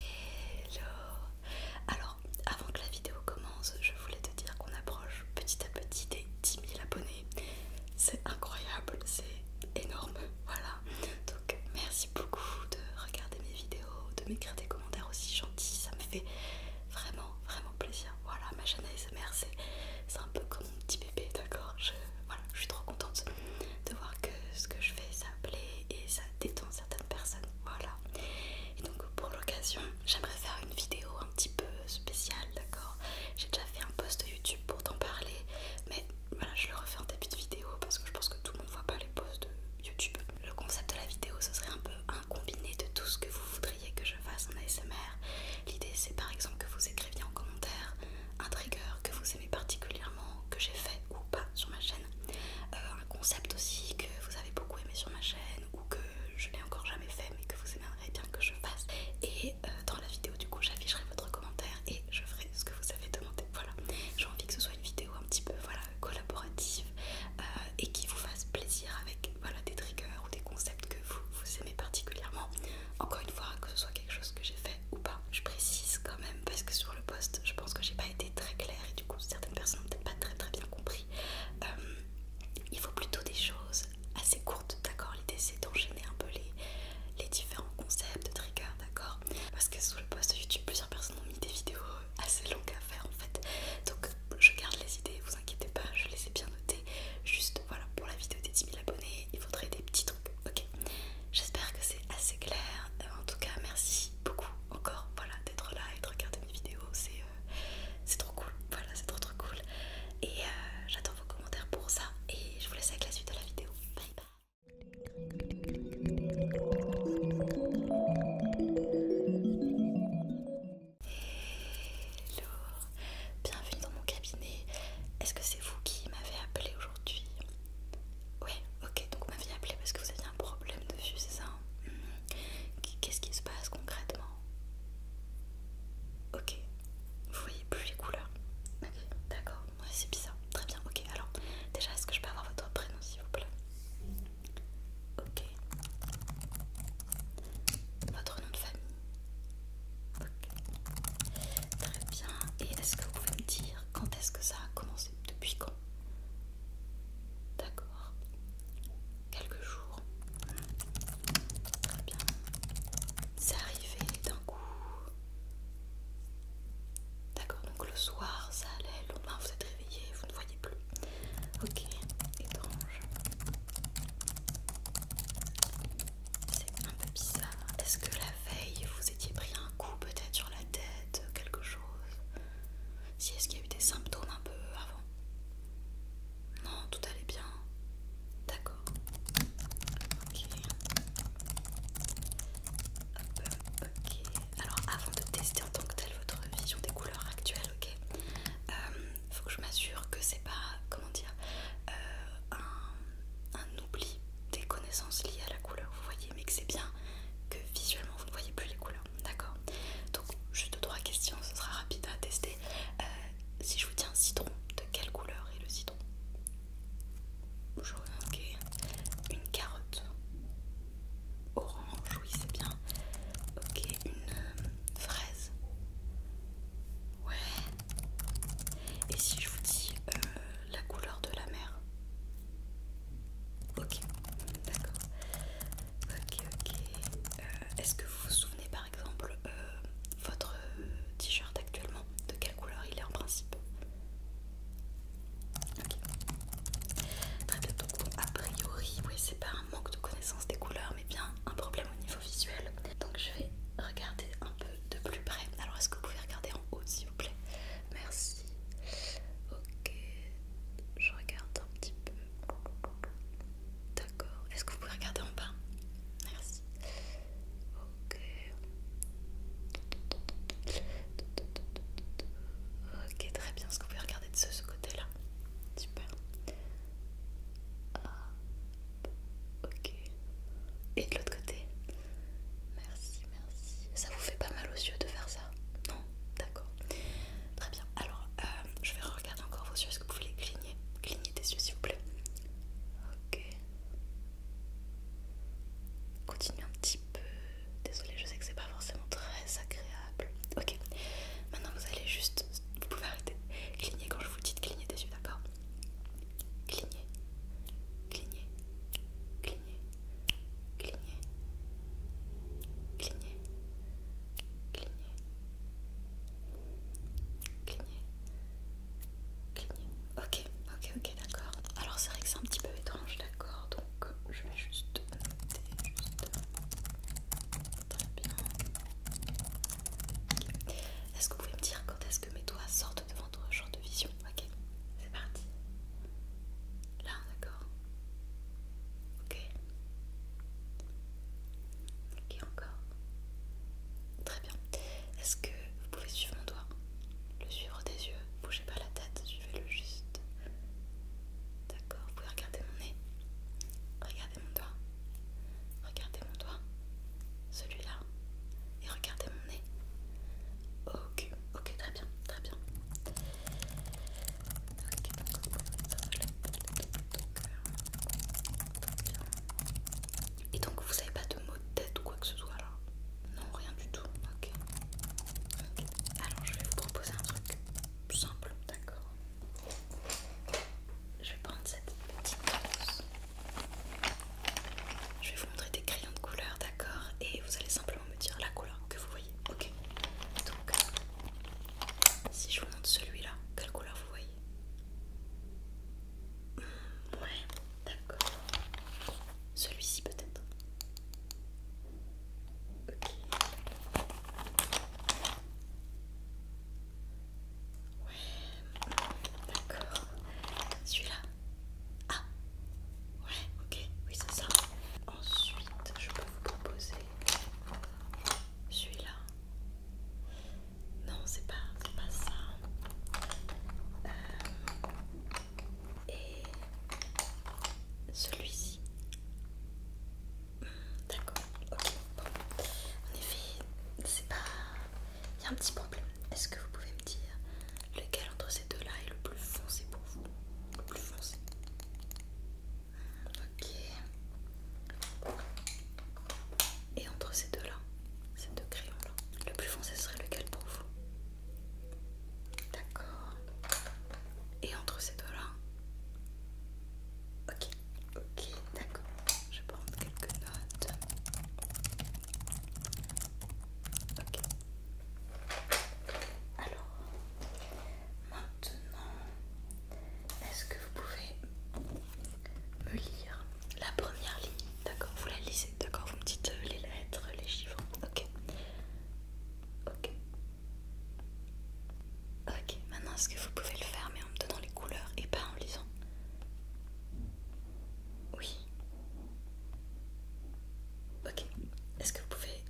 Hello Alors, avant que la vidéo commence, je voulais te dire qu'on approche petit à petit des 10 000 abonnés. C'est incroyable, c'est énorme, voilà. Donc, merci beaucoup de regarder mes vidéos, de m'écrire des commentaires aussi gentils, ça me fait vraiment, vraiment plaisir. Voilà, ma chaîne ASMR, c'est un peu comme mon petit bébé, d'accord je, voilà, je suis trop contente de voir que ce que je fais, ça plaît et ça détend, certaines personnes. Voilà. Et donc pour l'occasion, j'aimerais faire une vidéo un petit peu spéciale, d'accord J'ai déjà fait un post YouTube pour t'en parler, mais voilà, je le refais en début de vidéo parce que je pense que tout le monde voit pas les posts de YouTube. Le concept de la vidéo, ce serait un peu un combiné de tout ce que vous voudriez que je fasse en ASMR. L'idée, c'est par exemple que vous écriviez en commentaire un trigger que vous particulièrement, que j'ai fait ou pas sur ma chaîne, euh, un concept aussi que vous avez beaucoup aimé sur ma chaîne ou que je n'ai encore jamais fait mais que vous aimeriez bien que je fasse. Et euh, dans la vidéo du coup j'afficherai votre commentaire et je ferai ce que vous avez demandé. Voilà, j'ai envie que ce soit une vidéo un petit peu voilà, collaborative euh, et qui vous fasse plaisir avec voilà, des triggers ou des concepts que vous, vous aimez particulièrement. Encore une fois, que ce soit quelque chose que j'ai fait ou pas. Je précise quand même parce que sur le post, je pense que j'ai pas été très claire et du coup, certaines personnes ont peut-être pas très très bien compris. Euh, il faut plutôt des choses assez courtes, d'accord L'idée c'est d'enchaîner un peu les, les différents concepts de trigger, d'accord Parce que sur le post YouTube, plusieurs personnes ont mis des vidéos assez longues à faire en fait. Donc je garde les idées, vous inquiétez pas, je les ai bien notées. Juste voilà, pour la vidéo des 10 000 abonnés, il faudrait des petits trucs, ok J'espère que c'est assez clair. Euh, en tout cas, merci beaucoup encore voilà, d'être là et de regarder mes vidéos. C'est euh, trop cool. Voilà, c'est trop trop cool. Et euh, j'attends vos commentaires pour ça. Et je vous laisse avec la suite de la vidéo. Bye bye. Hello, bienvenue dans mon cabinet. Est-ce que c'est vous qui m'avez appelé aujourd'hui oui, ok, donc vous m'avez appelé parce que vous aviez un problème de vue, c'est ça hein. mmh. Qu'est-ce qui se passe concrètement Ok, vous voyez plus les couleurs Ok, d'accord, c'est bizarre, très bien, ok, alors déjà est-ce que je peux avoir votre prénom s'il vous plaît Ok, votre nom de famille Ok, très bien, et est-ce que vous pouvez me dire quand est-ce que ça a commencé, depuis quand. D'accord. Quelques jours. Très bien. C'est arrivé d'un coup. D'accord, donc le soir ça allait, le lendemain vous êtes réveillé, vous ne voyez plus. Ok, étrange. C'est un peu bizarre. Est-ce que la veille vous pris un coup peut-être sur la tête, euh, quelque chose. Si est-ce qu'il y a eu des symptômes un peu avant Non, tout allait bien. D'accord. Ok. Alors avant de tester en tant que telle votre vision des couleurs actuelles, ok euh, Faut que je m'assure que c'est pas, comment dire, euh, un, un des connaissances liées à la couleur, vous voyez, mais que c'est bien que visuellement vous ne voyez plus les couleurs, d'accord Donc, juste trois questions, ce sera rapide à tester. Euh, si je vous dis un citron, de quelle couleur est le citron Jaune, ok. Une carotte orange, oui, c'est bien. Ok, une euh, fraise. Ouais. Et si je vous dis euh, la couleur de la mer. Ok, d'accord. Ok, ok. Euh, est-ce que vous vous souvenez par exemple euh, votre t-shirt actuellement De quelle couleur il est en principe Ok. Très bien, donc a priori, oui, c'est pas un manque de connaissance des couleurs, mais bien un problème au niveau visuel. Donc je vais regarder un peu de plus près. Alors est-ce que vous pouvez regarder en haut s'il vous plaît Merci. Ok, je regarde un petit peu. D'accord. Est-ce que vous pouvez regarder en bas Merci. Ok. Ok, très bien. Est-ce que vous pouvez regarder de ce, côté-là Super. Ah. Ok. Et de l'autre côté. Merci, merci. Ça vous fait pas mal aux yeux de faire ça Non D'accord. Très bien. Alors, euh, je vais regarder encore vos yeux. Est-ce que vous voulez cligner Cligner des yeux, s'il vous plaît. Ok. Continuez un petit peu. Désolée, je sais que c'est pas forcément très agréable. Ok. Maintenant, vous allez juste. Vous pouvez arrêter de cligner quand je vous dis de cligner des yeux, d'accord cligner, cligner, cligner, cligner, cligner, cligner, cligner, cligner. Ok, ok, ok, d'accord. Alors c'est vrai que c'est un petit peu étrange, d'accord. Donc je vais juste noter, juste. Très bien. Est-ce que vous pouvez me dire quand est-ce que mes doigts sortent devant autre genre de vision. Ok, c'est parti. Là, d'accord. Ok. Ok, encore. Très bien. Est-ce que vous pouvez suivre mon doigt Le suivre des yeux. Bougez pas la tête, suivez-le juste. D'accord, vous pouvez regarder mon nez. Regardez mon doigt. Regardez mon doigt. Celui-là et regardez mon nez. Ok, ok, très bien, très bien. Et donc vous savez pas de mots de tête ou quoi que ce soit là Non, rien du tout. Ok. Alors je vais vous proposer un truc simple, d'accord. Je vais prendre cette petite je vais vous montrer des crayons de couleur, d'accord Et vous allez simplement me dire la couleur que vous voyez, ok Donc, si je vous montre celui-là, quelle couleur vous voyez hmm, Ouais, d'accord. Celui-ci peut-être Ok. Ouais, d'accord. Celui-là Ah Ouais, ok, oui c'est ça. Ensuite, je peux vous proposer celui-là. Non, c'est pas, pas ça. Euh, et celui-ci. Hmm, d'accord, ok. En effet, c'est pas il y a un petit problème. Est-ce que vous pouvez me dire lequel entre ces deux-là est le plus foncé pour vous Le plus foncé. Ok. Et entre ces deux-là, ces deux crayons-là, le plus foncé serait lequel pour vous D'accord. Et entre ces deux-là Ok. Ok, d'accord. Je prends quelques notes. Ok. Alors, maintenant, est-ce que vous pouvez me lire la première ligne D'accord, vous la lisez, d'accord Vous me dites euh, les lettres, les chiffres. Ok. Ok. Ok, maintenant est-ce que vous pouvez le faire mais en me donnant les couleurs et pas en lisant oui. Ok. Est-ce que vous pouvez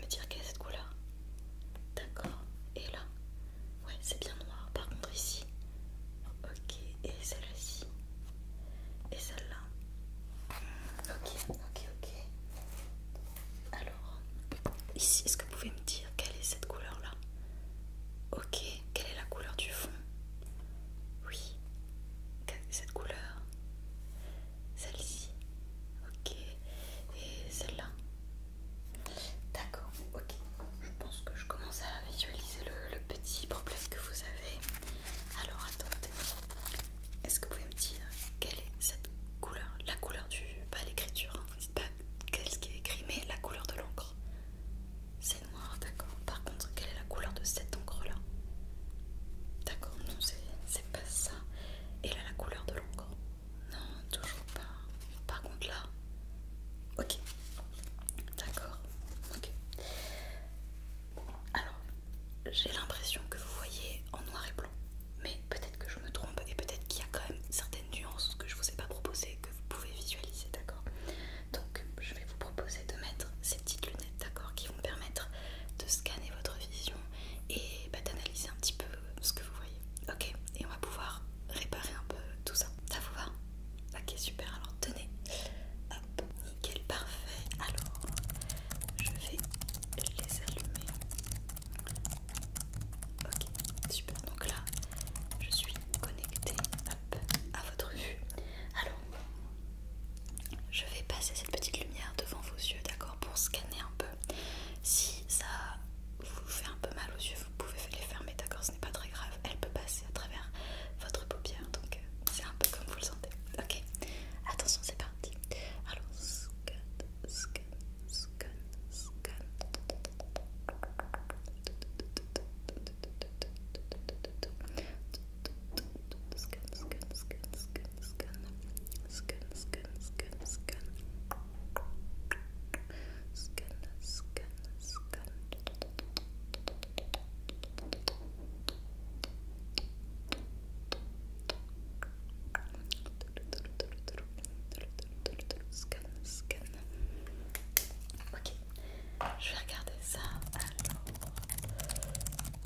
me dire quelle est cette couleur D'accord. Et là Ouais, c'est bien noir. Par contre, ici. Ok. Et celle-ci Et celle-là hmm, Ok, ok, ok. Alors, ici, est-ce que vous pouvez me dire quelle est cette couleur-là Ok, quelle est la couleur du fond Oui, cette couleur. Celle-ci. Ok. Et celle-là. D'accord, ok. Je pense que je commence à visualiser le, petit problème que vous avez. Alors attendez. Est-ce que vous pouvez me dire quelle est cette couleur La couleur du... Pas l'écriture, hein. pas qu'est-ce qui est écrit, mais la couleur de l'encre. C'est noir, d'accord. Par contre, quelle est la couleur de cette encre-là D'accord, non, c'est pas ça. Et là, la couleur de l'encre Non, toujours pas. Par contre, là... Ok. D'accord. Ok. Alors, j'ai l'impression que vous voyez en noir et blanc. Mais peut-être que je me trompe et peut-être qu'il y a quand même certaines nuances que je vous ai pas proposées que vous pouvez visualiser, d'accord Donc je vais vous proposer de mettre ces petites lunettes, d'accord, qui vont permettre de scanner votre vision et bah, d'analyser un petit peu ce que vous voyez. Ok Et on va pouvoir réparer un peu tout ça. Ça vous va Ok, super. Alors tenez. Hop, nickel, parfait. Alors, je vais les allumer. Ok, super. Donc là, je suis connectée à votre vue. Alors, je vais passer cette petite lumière devant vos yeux, d'accord, pour scanner un peu. Si ça vous fait un peu mal aux yeux, vous pouvez les fermer, d'accord, ce n'est pas très grave. Elle peut passer à travers votre paupière, donc euh, c'est un peu comme vous le sentez. Ok, attention, c'est parti. Alors, scan, scan, scan, scan. Scan, scan, scan, scan, scan. Scan, scan, scan, scan. Scan, scan, scan. Scan, scan. Ok, je vais regarder ça. Alors...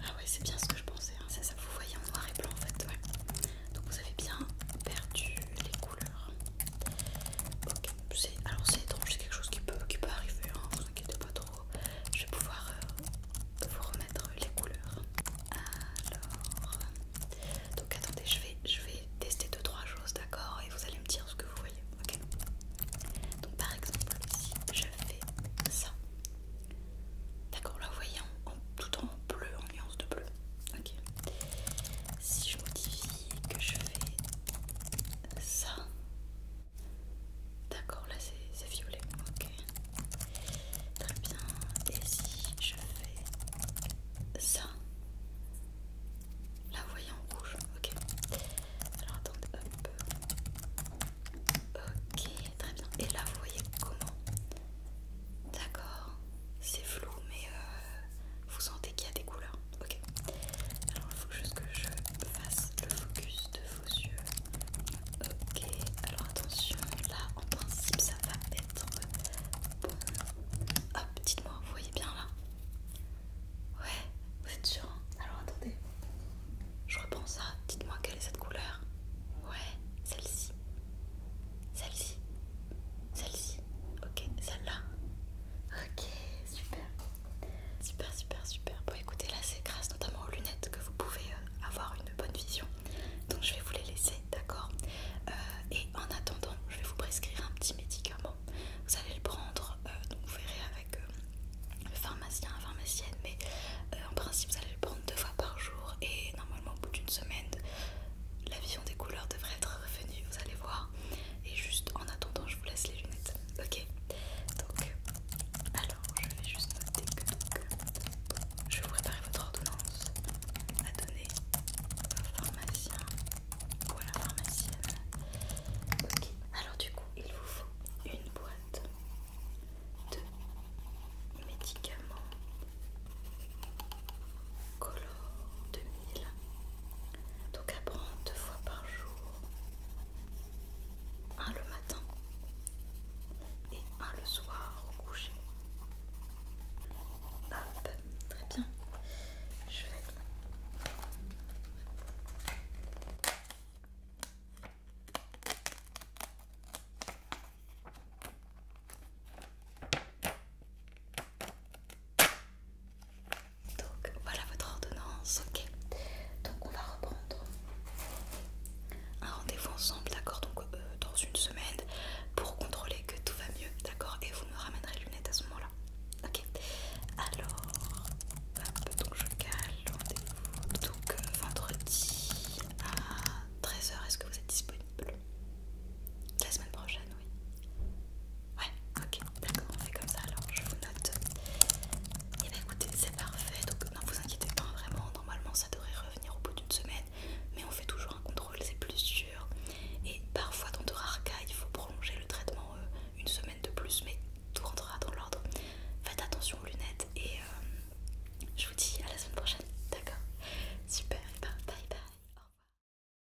Ah, ouais, c'est bien ce que je pensais. C'est hein. ça, vous voyez en noir et blanc en fait. Donc, vous avez bien perdu les couleurs. Ok, alors c'est étrange, c'est quelque chose qui peut, arriver. ne hein. Vous inquiétez pas trop. Je vais pouvoir euh, vous remettre les couleurs. Alors, donc attendez, je vais tester 2-3 choses, d'accord Et vous allez me dire ce que vous voyez, ok Donc par exemple, si je fais ça, d'accord, là vous voyez tout en bleu, en nuance de bleu, ok Si je modifie que je fais ça, d'accord, là c'est violet, ok Très bien, et si je fais ça Là vous voyez en rouge, ok. Alors attendez, hop. Ok, très bien. Et là vous voyez comment D'accord, c'est flou mais euh, vous sentez qu'il y a des couleurs. Ok. Alors il faut juste que je fasse le focus de vos yeux. Ok, alors attention, là en principe ça va être Hop, dites-moi, vous voyez bien là Ouais, vous êtes sûr hein Alors attendez, je reprends ça. Dites-moi quelle est cette couleur Ouais, celle-ci. Celle-ci. Celle-ci. Ok, celle-là. Ok, super. Super, super, super. Bon, écoutez, là, c'est grâce notamment aux lunettes que vous pouvez euh, avoir une bonne vision. Donc, je vais vous les laisser d'accord euh, Et en attendant, je vais vous prescrire un petit médicament. Vous allez le prendre, euh, donc vous verrez avec euh, le pharmacien, la pharmacienne, mais en principe, vous allez le prendre deux fois par jour et normalement, au bout d'une semaine, la vision des couleurs devrait être revenue, vous allez voir. Et juste en attendant, je vous laisse les lunettes, ok donc, alors je vais juste noter que je vais vous préparer votre ordonnance à donner au pharmacien ou à la pharmacienne. Ok, alors du coup, il vous faut une boîte de médicaments color 2000, donc à prendre deux fois par jour, un le matin et à le soir au coucher. Hop, très bien. Je vais. Donc voilà votre ordonnance, ok. Donc on va reprendre un rendez-vous ensemble, d'accord Donc euh, dans une semaine pour contrôler que tout va mieux, d'accord Et vous me ramènerez lunettes à ce moment-là. Ok Alors, hop, donc je cale rendez-vous. Donc euh, vendredi à 13h, est-ce que vous êtes disponible La semaine prochaine, oui. Ouais, ok, d'accord, on fait comme ça alors, je vous note. Et eh bah ben, écoutez, c'est parfait, donc ne vous inquiétez pas, vraiment, normalement ça devrait revenir au bout d'une semaine mais on fait toujours un contrôle, c'est plus sûr. Et parfois, dans de rares cas, il faut prolonger le traitement euh, une semaine de plus, mais tout rentrera dans l'ordre. Faites attention aux lunettes et euh, je vous dis à la semaine prochaine, d'accord Super, bye, bye. Au revoir.